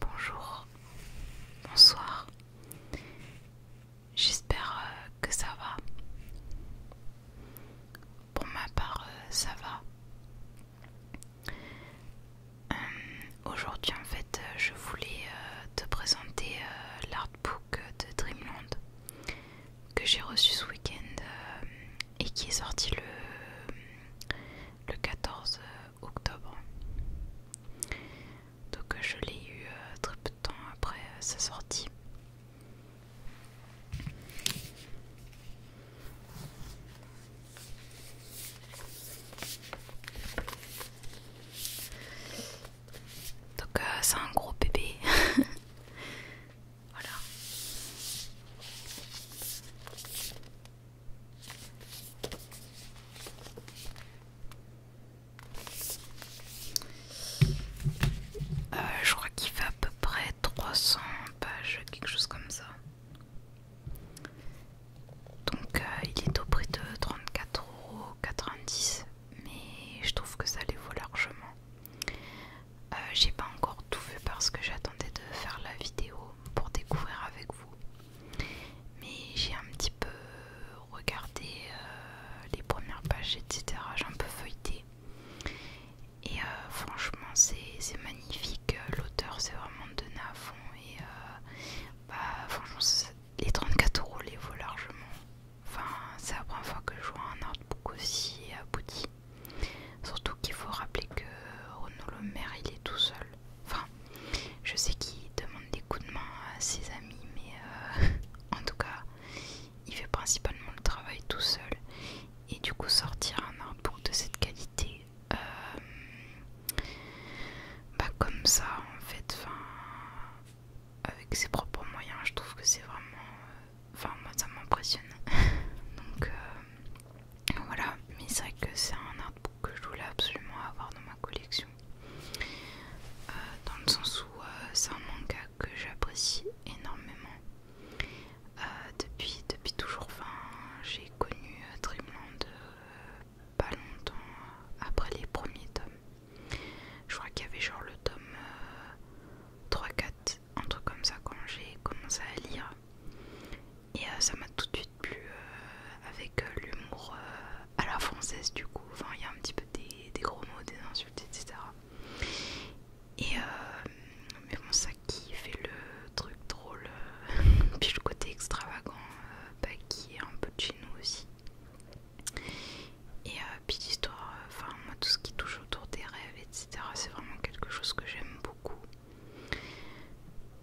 Bonjour, bonsoir, j'espère euh, que ça va. Pour ma part, euh, ça va. Euh, aujourd'hui, en fait, je voulais te présenter l'artbook de Dreamland que j'ai reçu ce week-end et qui est sorti le, le 14 octobre. Donc euh, je l'ai eu euh, très peu de temps après euh, sa sortie. Donc c'est un gros bébé. voilà. Euh, je crois qu'il fait à peu près 300 pages, quelque chose comme ça. Donc euh, il est au prix de 34,90€, mais je trouve que ça les vaut largement. Euh, j'ai pas encore tout vu parce que j'attendais de faire la vidéo pour découvrir avec vous mais j'ai un petit peu regardé euh, les premières pages, etc. J'ai un peu feuilleté. Et euh, franchement, c'est magnifique. L'auteur, c'est vraiment de à fond. Et euh, bah, franchement, les 34 euros les vaut largement. Enfin, c'est la première fois que je vois un artbook aussi abouti. Surtout qu'il faut rappeler que Renaud Le Maire, il est tout seul. Enfin, je sais qu'il demande des coups de main à ses amis, mais euh, en tout cas, il fait principalement le travail tout seul. Et du coup, sortir un arbre de cette qualité, euh, bah comme ça, en fait, avec ses propres moyens, je trouve que c'est vraiment... Euh, enfin, moi, ça m'impressionne. Donc, voilà, mais c'est vrai que c'est un artbook que je voulais absolument avoir dans ma collection. Euh, dans le sens où euh, c'est un manga que j'apprécie énormément. Euh, depuis, depuis toujours, fin, j'ai connu Dreamland pas longtemps après les premiers tomes. Je crois qu'il y avait genre le tome 3-4, un truc comme ça quand j'ai commencé à lire. Et euh, ça m'a tout de suite plu euh, avec euh, l'humour à la française du coup. Enfin, il y a un petit peu des, gros mots, des insultes, etc. Et mais bon, ça qui fait le truc drôle, puis le côté extravagant, bah, qui est un peu de aussi. Et puis l'histoire, enfin moi tout ce qui touche autour des rêves, etc. C'est vraiment quelque chose que j'aime beaucoup.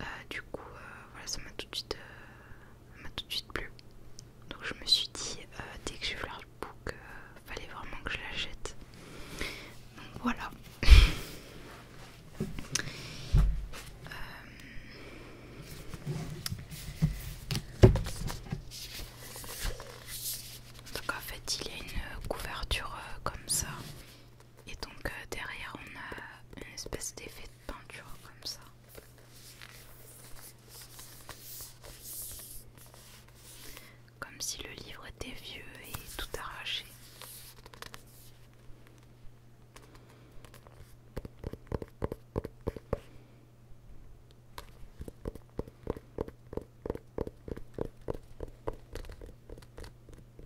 Euh, du coup, euh, voilà, ça m'a tout, euh, tout de suite plu. Donc je me suis dit, dès que j'ai vu le fallait vraiment que je l'achète. Donc voilà. Donc en fait, il y a une couverture comme ça. Et donc euh, derrière on a une espèce d'effet de peinture comme ça. Comme si le livre était vieux et tout arraché.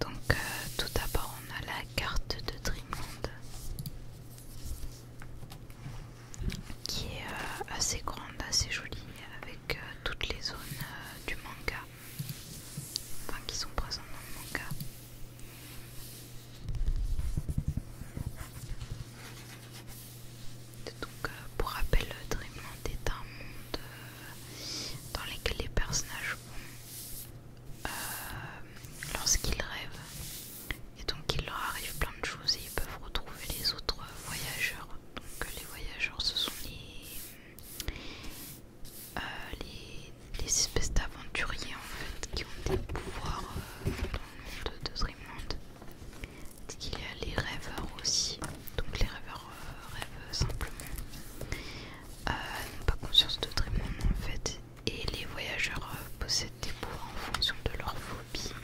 Donc euh, tout d'abord on a la carte de Dreamland qui est euh, assez grande, assez jolie, avec euh, toutes les zones euh, du manga, enfin qui sont présentes dans le manga. Donc, pour rappel, Dreamland est un monde dans lequel les personnages vont lorsqu'ils rêvent et donc il leur arrive plein de choses et ils peuvent retrouver les autres voyageurs. Donc les voyageurs ce sont les, euh, les, espèces d'aventuriers en fait qui ont des pouvoirs euh, dans le monde de Dreamland. Il y a les rêveurs aussi, donc les rêveurs euh, rêvent simplement, ils n'ont pas conscience de Dreamland en fait, et les voyageurs euh, possèdent des pouvoirs en fonction de leur phobie.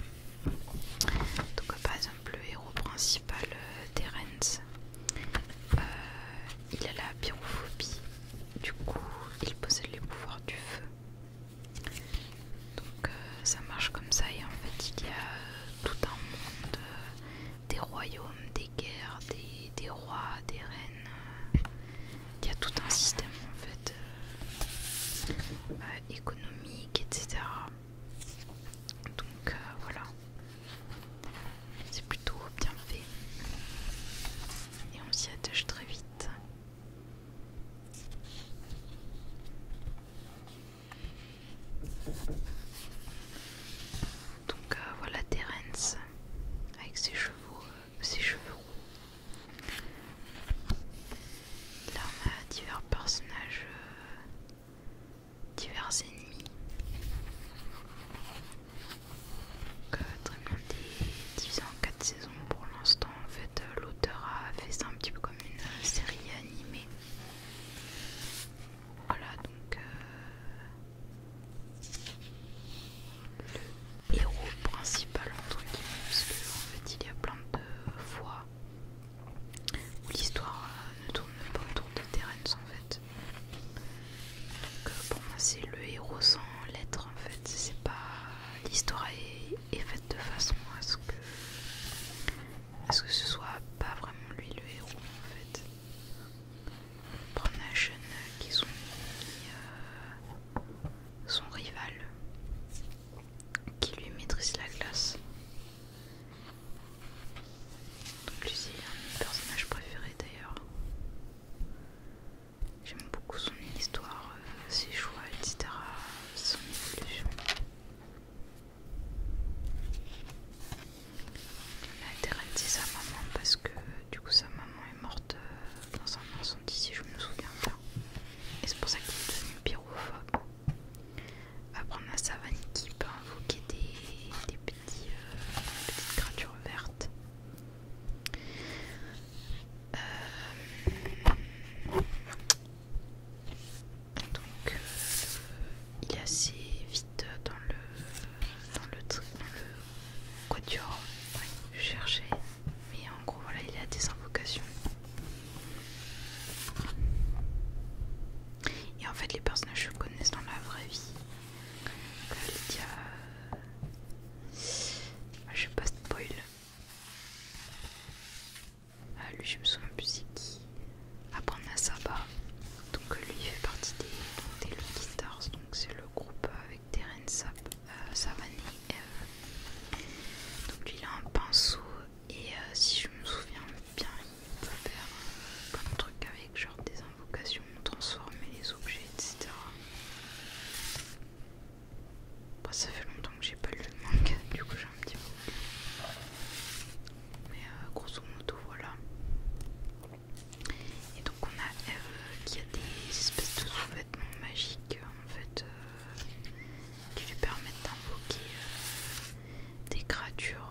Donc euh, par exemple le héros principal des euh, rennes il a la pyrophobie, du coup il possède les pouvoirs du feu. Donc ça marche comme ça et en fait il y a tout un monde, des royaumes, des guerres, des, des rois, des reines il y a tout un système en fait euh, euh, économique, etc. Donc euh, voilà, c'est plutôt bien fait et on s'y attache très vite. Donc voilà Terence avec ses chevaux ses cheveux roux. Là, on a divers personnages, euh, divers ennemis. Donc, très bien divisé en 4 saisons pour l'instant. En fait, euh, l'auteur a fait ça un petit peu comme une euh, série animée. Voilà donc héros principal entre guillemets, parce qu'en en fait il y a plein de fois où l'histoire euh, ne tourne pas autour de Terence en fait. Donc euh, pour moi c'est le héros sans l'être en fait, c'est pas. L'histoire est, faite de façon à ce que ce que ce soit pas vraiment lui le héros en fait. On prend un qui sont euh, son rival qui lui maîtrise la glace. Donc lui c'est un de mes personnages préférés d'ailleurs. J'aime beaucoup son histoire, euh, ses choix, etc. Son évolution. a interdit sa maman parce que du coup sa maman est morte euh, dans un incendie, si je me souviens bien. Et c'est pour ça qu'il est devenu pyrophobe. prendre la savane qui peut invoquer des, petits, euh, petites créatures vertes. Euh, donc, euh, il est assez vite dans le, dans le, dans le quatuor. Oui, mais en gros, voilà, il a des invocations. Et en fait, les personnages je connaissent dans la vraie vie. Euh, Lydia... Ah, je vais pas spoil. Ah, lui, je me souviens plus c'est qui. Après, à a Donc, lui, il fait partie des, Stars. Donc, c'est le groupe avec Terence Sap va euh, euh, donc lui il a un pinceau et euh, si je me souviens bien il peut faire plein de trucs avec genre des invocations, transformer les objets, etc. Bah, ça fait longtemps que j'ai pas lu le manga, du coup j'ai un petit peu Mais grosso modo voilà. Et donc on a Eve qui a des espèces de sous-vêtements magiques en fait qui lui permettent d'invoquer euh, des créatures.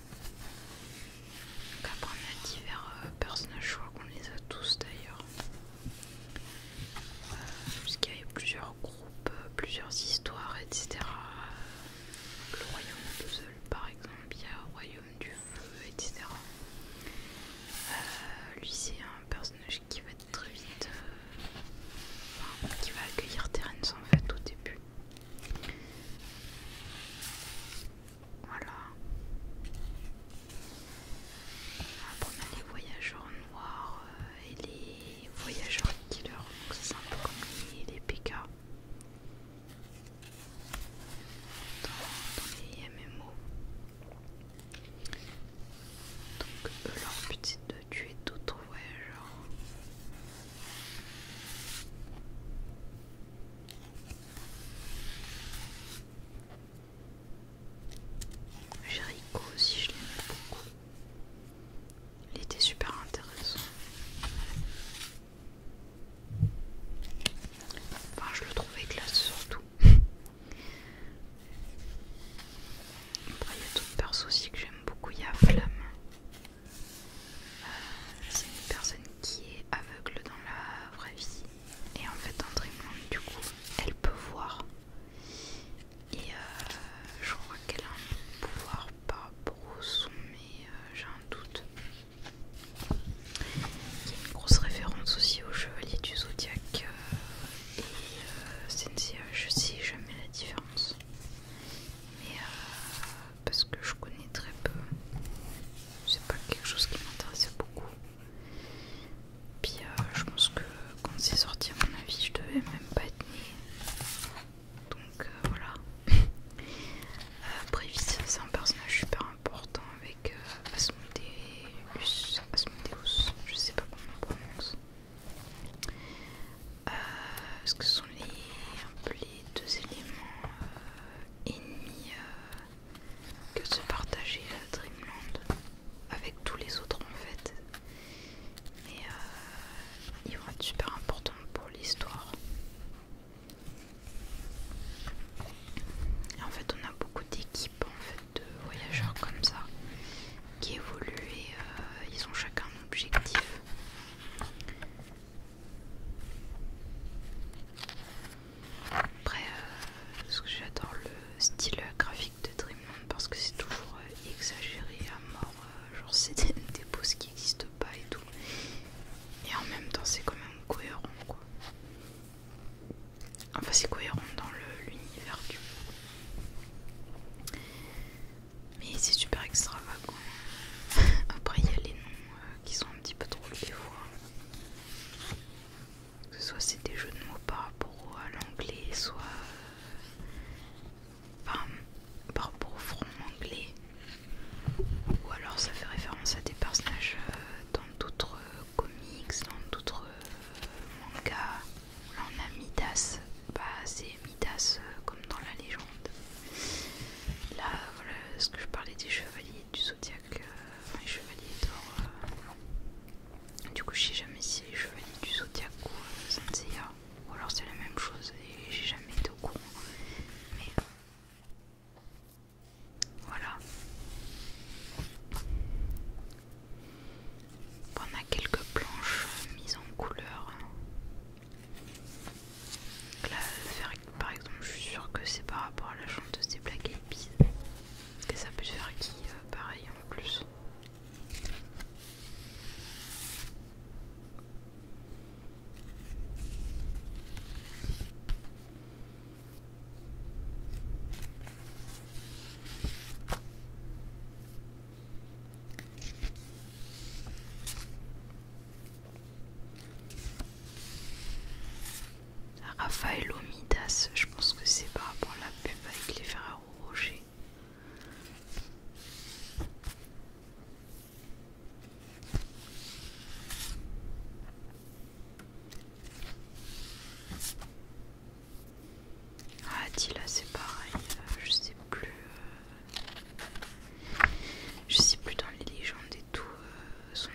Donc après on a divers euh, personnages, je crois qu'on les a tous d'ailleurs. Euh, Puisqu'il y a plusieurs groupes, euh, plusieurs histoires, etc. Le royaume de Zeul par exemple, il y a le royaume du feu, etc. lui c'est un personnage qui va être très vite... qui va accueillir Terence en fait au début. Voilà. Après on a les voyageurs noirs euh, et les voyageurs killers, donc c'est un peu comme les, PK. Dans, les MMO. Donc eux, leur but c'est de tuer d'autres voyageurs. Jericho aussi, je l'aime beaucoup. Il était super intéressant. Enfin, je le trouvais classe surtout. Après, il y a d'autres persos aussi que j'aime beaucoup. Il y a Flamme c'est une personne qui est aveugle dans la vraie vie et en fait en Dreamland du coup elle peut voir et euh, je crois qu'elle a un pouvoir par rapport au son mais euh, j'ai un doute il y a une grosse référence aussi au Chevalier du Zodiac euh, et Sensei, je sais jamais la différence mais parce que je connais très peu. C'est pas quelque chose qui m'intéressait beaucoup. Puis euh, je pense que quand c'est sorti, à mon avis, je devais même pas être née. Donc euh, voilà. Euh, après, c'est un personnage super important avec Asmodeus. je sais pas comment on prononce. ce que sont les, les deux éléments ennemis que se partager la Dreamland avec tous les autres en fait. Mais euh, ils vont être super importants pour l'histoire. En fait, on a beaucoup d'équipes en fait, de voyageurs comme ça qui évoluent et euh, ils ont chacun un objectif. Après, euh, que j'adore le style graphique de Dreamland parce que c'est toujours euh, exagéré à mort, euh, genre c'est des, des qui n'existent pas et tout. Et en même temps, c'est quand même cohérent quoi. Enfin, c'est cohérent dans l'univers du mais c'est super extravagant. Après, il y a les noms qui sont un petit peu trop des fois. Que ce soit c'est des jeux de mots par rapport à l'anglais, soit par, rapport au front anglais, ou alors ça fait référence à des personnages euh, dans d'autres euh, comics, dans d'autres euh, mangas. Là on a Midas, pas bah, assez Midas comme dans la légende. Là voilà ce que je parlais des chevaliers du zodiaque, un euh, Chevalier d'or. Euh. Du coup, je sais jamais si les chevaliers du zodiaque ou euh, ou alors c'est la même chose et j'ai jamais été au courant. Mais voilà. On a quelques planches mises en couleur par exemple, je suis sûre que c'est par rapport à la chanteuse des Black Eyed Peas. Et ça peut faire qui euh, Pareil en plus. Rafael Omidas, je pense que c'est par rapport à la pub avec les ferraro Rocher. Ah, Attila, c'est pareil, euh, je sais plus. Euh, je sais plus dans les légendes et tout. Euh, son,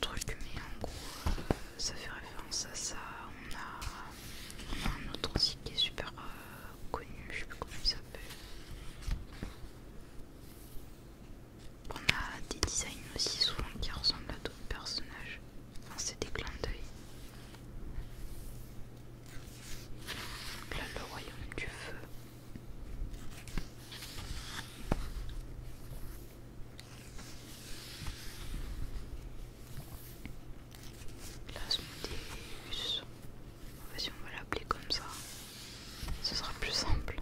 truc, mais en gros, euh, ça fait référence à ça. On a, un autre aussi qui est super euh, connu, je sais plus comment il s'appelle. On a des designs aussi souvent qui ressemblent à d'autres personnages. Enfin, c'est des clins d'œil. Là, le royaume du feu. Plasmodéus. Vas-y, on va l'appeler comme ça. Ce sera plus simple.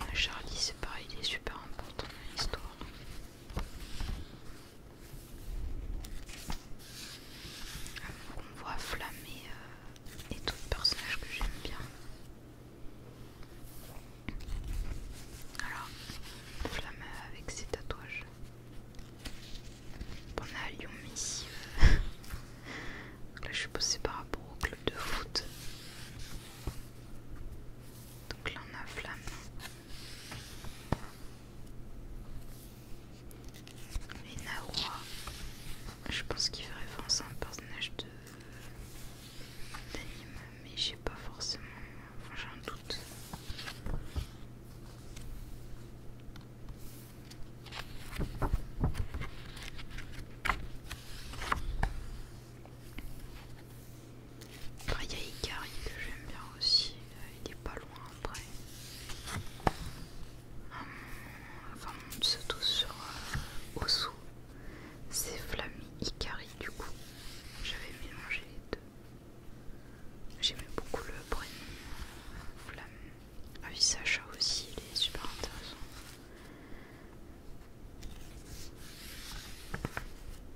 Ah, Charlie, c'est pareil, il est super important dans l'histoire. On voit flammer euh, et tout le personnage que j'aime bien. Alors, flamme avec ses tatouages. On à Lyon ici. Euh. Là, je suis passée par rapport au club de foot. Donc là on a flamme. Et je pense qu'il ferait référence un personnage de d'anime, mais j'ai pas forcément, j'ai un doute. Ah, il y a Ikari que j'aime bien aussi. Euh, il est pas loin après. Hum, enfin, on se sur euh, Osu. C'est Flammy Ikari du coup. J'avais mélangé les deux. J'aimais beaucoup le prénom euh, Flamme. Ah oui, Sacha aussi, il est super intéressant.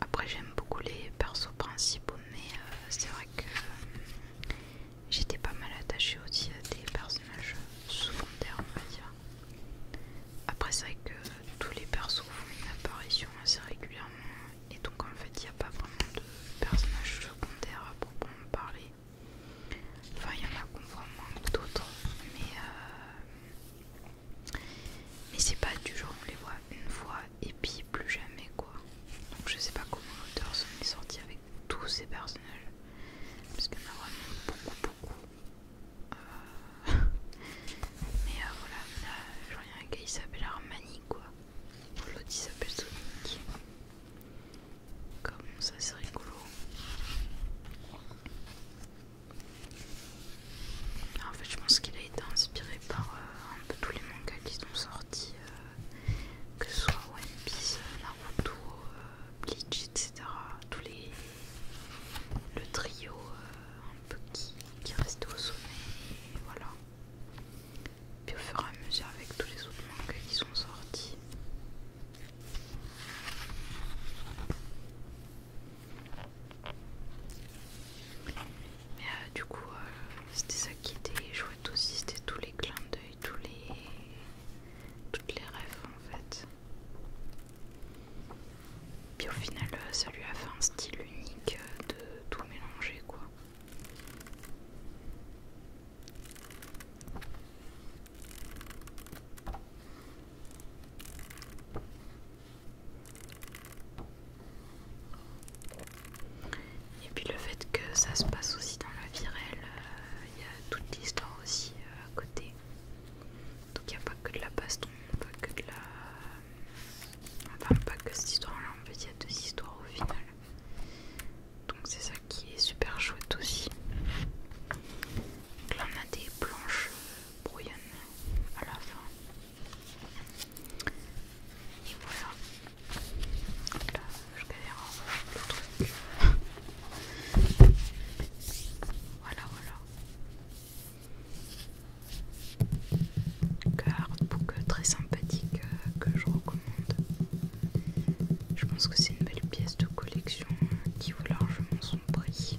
Après j'aime beaucoup les persos principaux mais euh, c'est vrai que euh, j'étais pas mal attachée aussi à des personnages secondaires on va dire. Après c'est vrai que tous les persos font une apparition assez régulièrement et donc en fait il n'y a pas vraiment de personnages secondaires à proprement parler. Enfin il y en a qu'on voit moins d'autres mais... Euh, mais c'est pas du genre on les voit une fois et puis plus jamais quoi. Donc je sais pas comment l'auteur s'en est sorti avec tous ces personnages. Parce qu'il y en a vraiment beaucoup beaucoup. Euh, mais euh, voilà, là, il y a un qui s'appelle Armani quoi. L'autre il s'appelle Sonic. Comme ça c'est rigolo. En fait, je pense qu'il a été inspiré par euh, un peu tous les mangas qui sont sortis, euh, que ce soit One Piece, Naruto, euh, Bleach, etc. Tous les le trio un peu qui, qui au sommet, et voilà. Puis au fur et à mesure avec tous les autres mangas qui sont sortis. Mais euh, du coup, euh, c'était ça qui était chouette aussi, c'était tous les clins d'œil, tous les... toutes les rêves en fait. Puis au final, euh, ça lui a fait un style unique de tout mélanger quoi. Et puis le fait que ça se passe aussi dans la vie réelle, euh, il y a toute l'histoire aussi euh, à côté. Donc il n'y a pas que de la baston, pas que de la. Enfin, pas que cette histoire-là, en fait, il y a deux histoires au final. Donc c'est ça qui est super chouette aussi. là on a des planches euh, brouillonne à la fin. voilà. là, je galère le truc. voilà, voilà. très sympathique euh, que je recommande. Je pense que c'est une belle pièce de collection euh, qui vaut largement son prix.